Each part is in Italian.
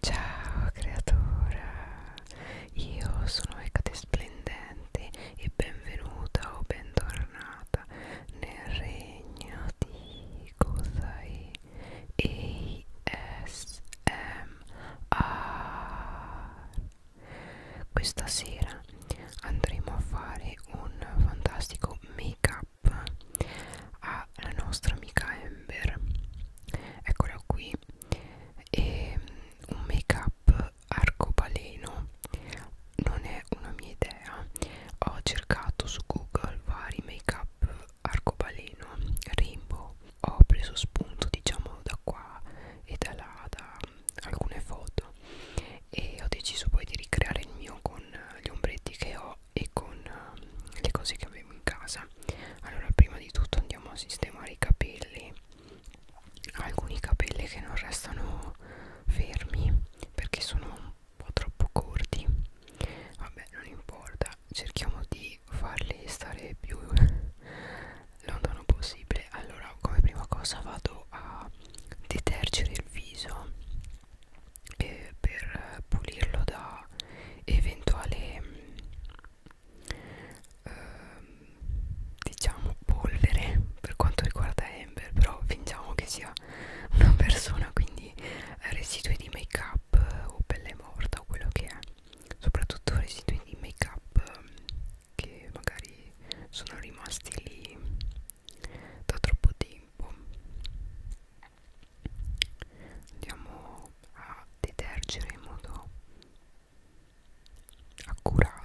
Ciao creatura, io sono Ecate Splendente e benvenuta o bentornata nel regno di Kozai ASMR. Questa sera andremo a fare un fantastico make up alla nostra amica Ember eccola qui e un make up arcobaleno non è una mia idea ho cercato su google vari make up arcobaleno rainbow ho preso spunto diciamo da qua e da là da alcune foto e ho deciso poi di ricreare il mio con gli ombretti che ho e con eh, le cose che avevo in casa allora prima di tutto andiamo a sistemare i capelli alcuni capelli che non restano fermi perché sono un po' troppo corti vabbè non importa cerchiamo di farli stare più lontano possibile allora come prima cosa vado a detergere il viso eh, per pulirlo da eventuale eh, diciamo polvere per quanto riguarda Ember però fingiamo che sia una persona quindi residui di make up o pelle morta o quello che è soprattutto residui di make up che magari sono rimasti lì da troppo tempo andiamo a detergere in modo accurato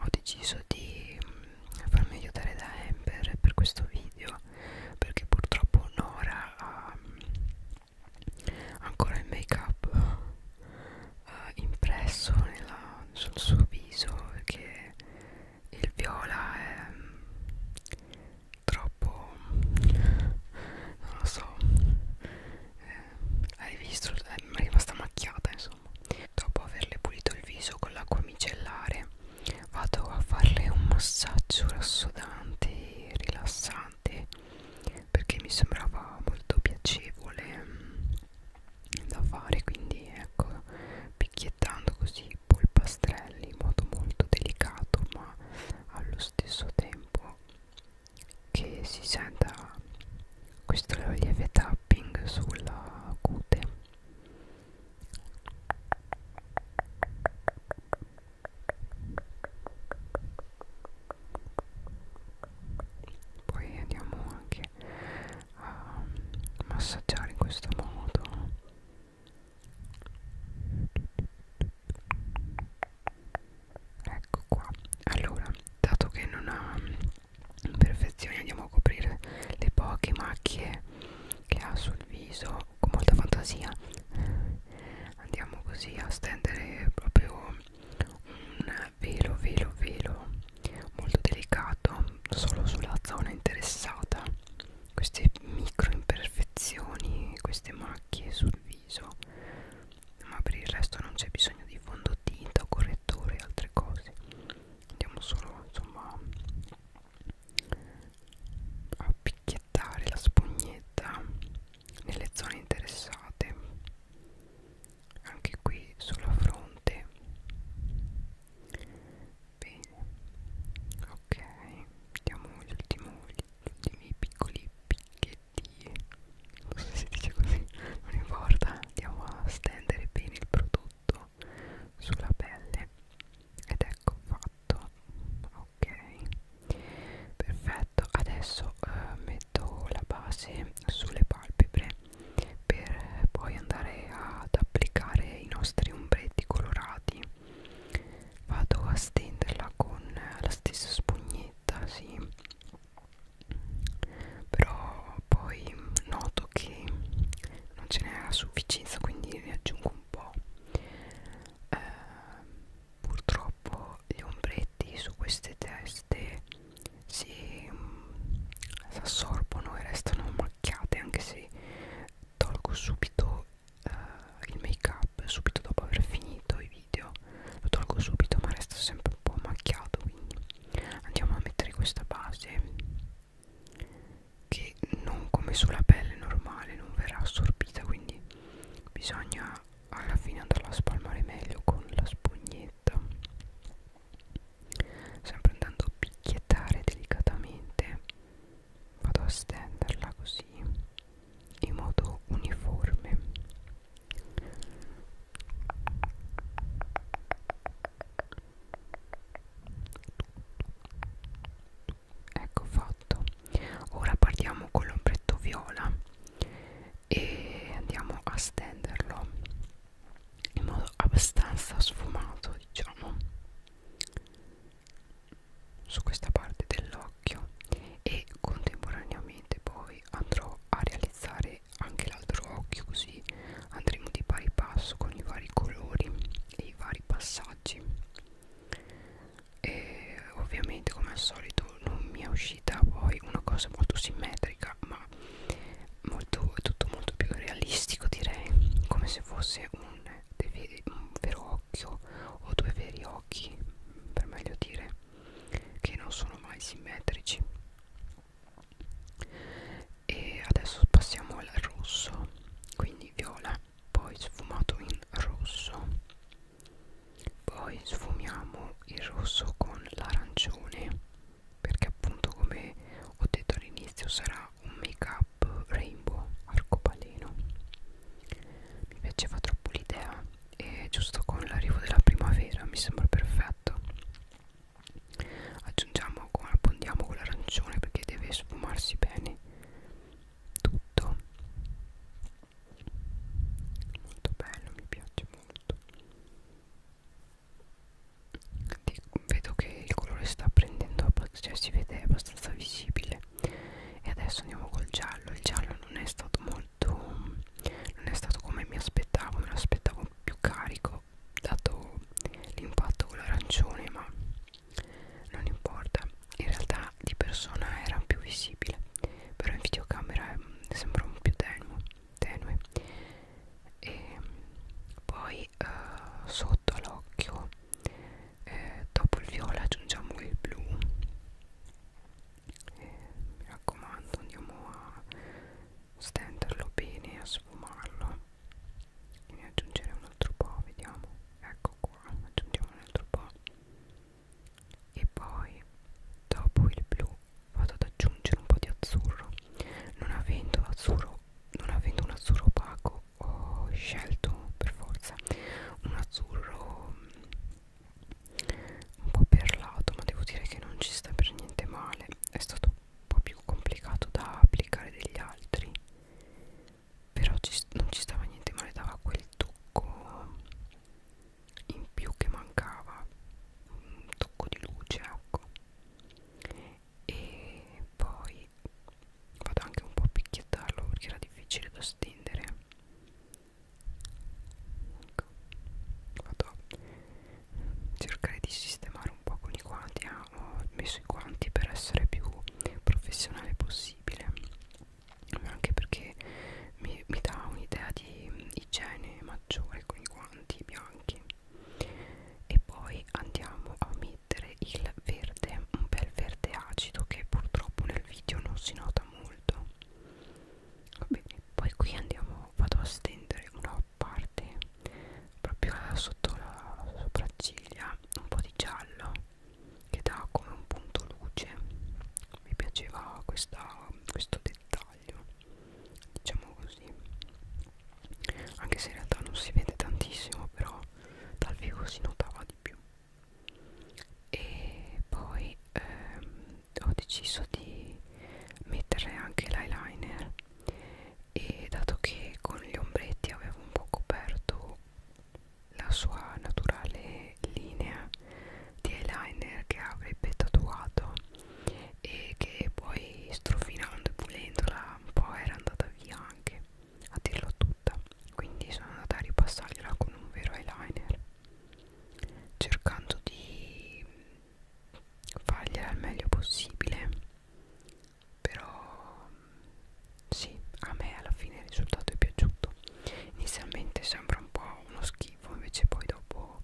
ho deciso di mm, farmi aiutare da Ember per questo video perché purtroppo Nora ha mm, ancora il make up uh, eh, impresso nella, sul suo viso perché il viola è mm, troppo non lo so eh, hai visto è rimasta macchiata insomma profumo dopo averle pulito il viso con l'acqua micellare vado a farle un massaggio rassodante e rilassante perché mi sembrava molto piacevole mm, da fare quindi ecco picchiettando così polpastrelli in modo molto delicato ma allo stesso tempo che si senta questo è un lieve tapping sulla cute poi andiamo anche a massaggiare in questo modo ecco qua allora dato che non ha imperfezioni andiamo a coprire le poche macchie che ha sul viso con molta fantasia andiamo così a stendere proprio un velo velo velo molto delicato solo sulla zona interessata queste micro imperfezioni queste macchie sul viso ma per il resto non c'è bisogno di fondotinta correttore e altre cose andiamo solo insomma a picchiettare la spugnetta nelle zone interessate anche qui sulla fronte bene ok diamo gli ultimi, gli ultimi piccoli picchetti non so se si dice così, non importa, andiamo a stendere bene il prodotto sulla pelle ed ecco fatto, ok, perfetto, adesso eh, metto la base sulle palpebre per poi andare ad applicare i nostri ombretti colorati vado a stenderla con la stessa spugnetta sì però poi noto che non ce n'è a sufficienza quindi ne aggiungo un po' eh, purtroppo gli ombretti su queste teste si um, assorbono e restano macchiate anche se tolgo subito eh, il make up subito dopo aver finito i video video lo tolgo subito ma resta sempre un po' macchiato quindi andiamo a mettere questa base che non come sulla pelle normale non verrà assorbita quindi bisogna alla fine andarla a spalmare meglio con la spugnetta sempre andando a picchiettare delicatamente vado a stenderla così in modo uniforme ecco fatto ora partiamo con l'ombretto viola e andiamo a stenderlo in modo abbastanza sfumato diciamo su questa parte dell'occhio e contemporaneamente poi poi andrò a realizzare anche l'altro occhio così andremo di pari passo con i vari colori e i vari passaggi e ovviamente come al solito non mi è uscita poi una cosa molto simmetrica ma molto, tutto molto più realistico direi come se fosse un, veri, un vero occhio o due veri occhi per meglio dire che non sono mai simmetrici e adesso passiamo al rosso quindi viola poi sfumato in rosso poi sfumiamo il rosso con l'arancione perché appunto come ho detto all'inizio sarà un make up rainbow arcobaleno mi piaceva troppo l'idea e giusto con l'arrivo della primavera mi sembra perfetto aggiungiamo abbondiamo con l'arancione perché deve sfumarsi bene tutto molto bello mi piace molto vedo che il colore sta prendendo cioè si vede abbastanza visibile e adesso andiamo col giallo il giallo non è stato molto molto non è stato come mi aspettavo me lo aspettavo più carico dato l'impatto con l'arancione ma non importa in realtà di persona era più visibile però in videocamera è, mm, sembra un più tenuo, tenue e poi eh, sotto all'occhio eh, dopo il viola aggiungiamo il blu e mi raccomando andiamo a stenderlo bene a sfumarlo e ne aggiungere un altro po' vediamo ecco qua aggiungiamo un altro po' e poi dopo il blu vado ad aggiungere un po' di azzurro non avendo azzurro non avendo un azzurro opaco ho scelto per forza un azzurro un po' perlato ma devo dire che non ci sta per niente male è stato un po' più complicato da applicare degli altri però ci, non ci stava niente male dava quel tocco in più che mancava un tocco di luce ecco e poi vado anche un po' a picchiettarlo perché era difficile da stendere ecco. vado a cercare di sistemare un po' con i guanti ah, ho messo i guanti per essere più professionale possibile anche perché mi, mi dà un'idea di igiene maggiore con i guanti bianchi e poi andiamo a mettere il verde verde un bel verde acido che purtroppo nel video non si nota molto va bene poi qui andiamo vado a stendere una parte proprio sotto la sopracciglia un po' di giallo che dà come un punto luce mi piaceva questa, questo dettaglio diciamo così anche se in realtà non si vede tantissimo però dal vivo si notava di più e poi ehm, ho deciso di mettere anche l'eyeliner e dato che con gli ombretti avevo un po' coperto la sua naturale linea di eyeliner che avrebbe tatuato e che poi strofinando e pulendola un po' era andata via anche a dirlo tutta quindi sono andata a ripassargliela con un vero eyeliner cercando di fargliela il meglio possibile però sì a me alla fine il risultato è piaciuto inizialmente sembra un po' uno schifo invece poi dopo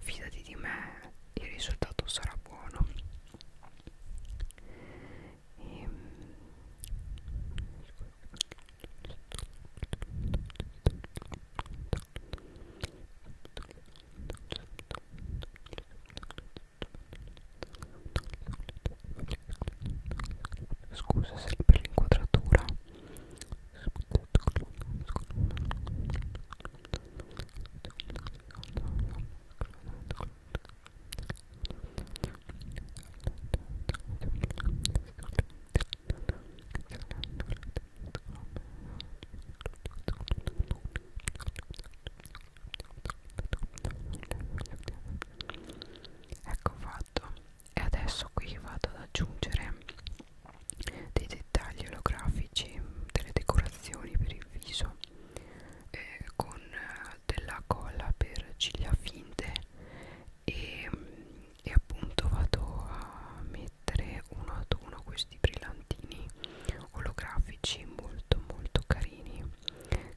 fidati di me il risultato sarà buono e, ehm, scusa se per l'inquadratura Ecco fatto. E adesso qui vado ad aggiungere dei dettagli olografici, delle decorazioni per il viso eh, con eh, della colla per ciglia finte e, e appunto vado a mettere uno ad uno questi brillantini olografici molto molto carini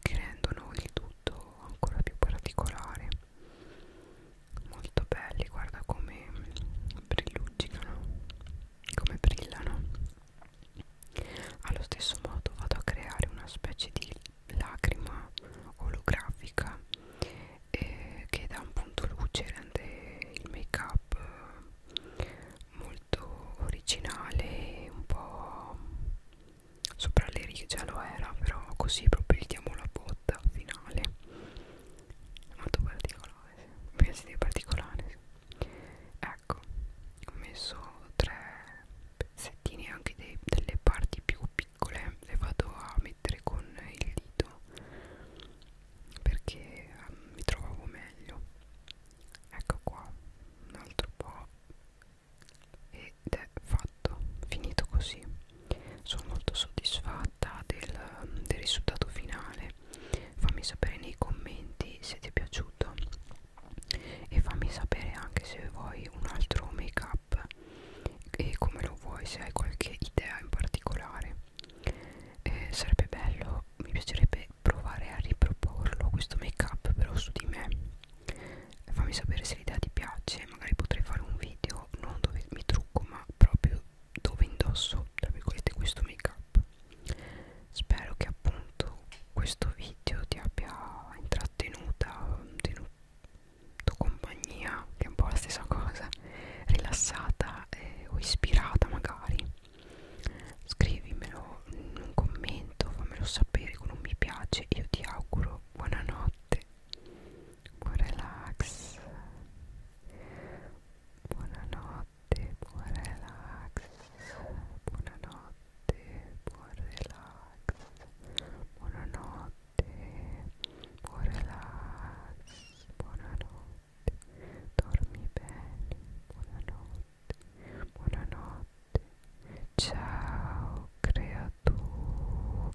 che rendono il tutto ancora più particolare molto belli guarda come brilluccicano come brillano allo stesso modo vado a creare una specie di lacrima olografica eh, che dà un punto luce, rende il make up eh, molto originale, un po' sopra le righe già lo era, però così proprio gli diamo la botta finale. Molto particolare, mi piace di particolare ecco ho messo tre pezzettini anche dei, delle parti più piccole le vado a mettere con il dito perché um, mi trovavo meglio ecco qua un altro po' ed è fatto finito così sono molto soddisfatta del, del risultato finale fammi sapere nei commenti se ti è piaciuto e fammi sapere anche se vuoi un altro make up e come lo vuoi se hai qualche idea in particolare eh, sarebbe bello mi piacerebbe provare a riproporlo questo make up però su di me eh, fammi sapere se l'idea ti piace magari potrei fare un video non dove mi trucco ma proprio dove indosso tra virgolette questo make up spero che appunto questo video ti abbia intrattenuta tenuto compagnia che è un po' la stessa cosa rilassata eh, o ispirata magari scrivimelo in un commento fammelo sapere con un mi piace io ti auguro buonanotte buon relax Buonanotte, buon relax. Buonanotte, buon relax. Buonanotte, buon relax. Buonanotte, dormi bene. Buonanotte, buonanotte. Ciao, creatura.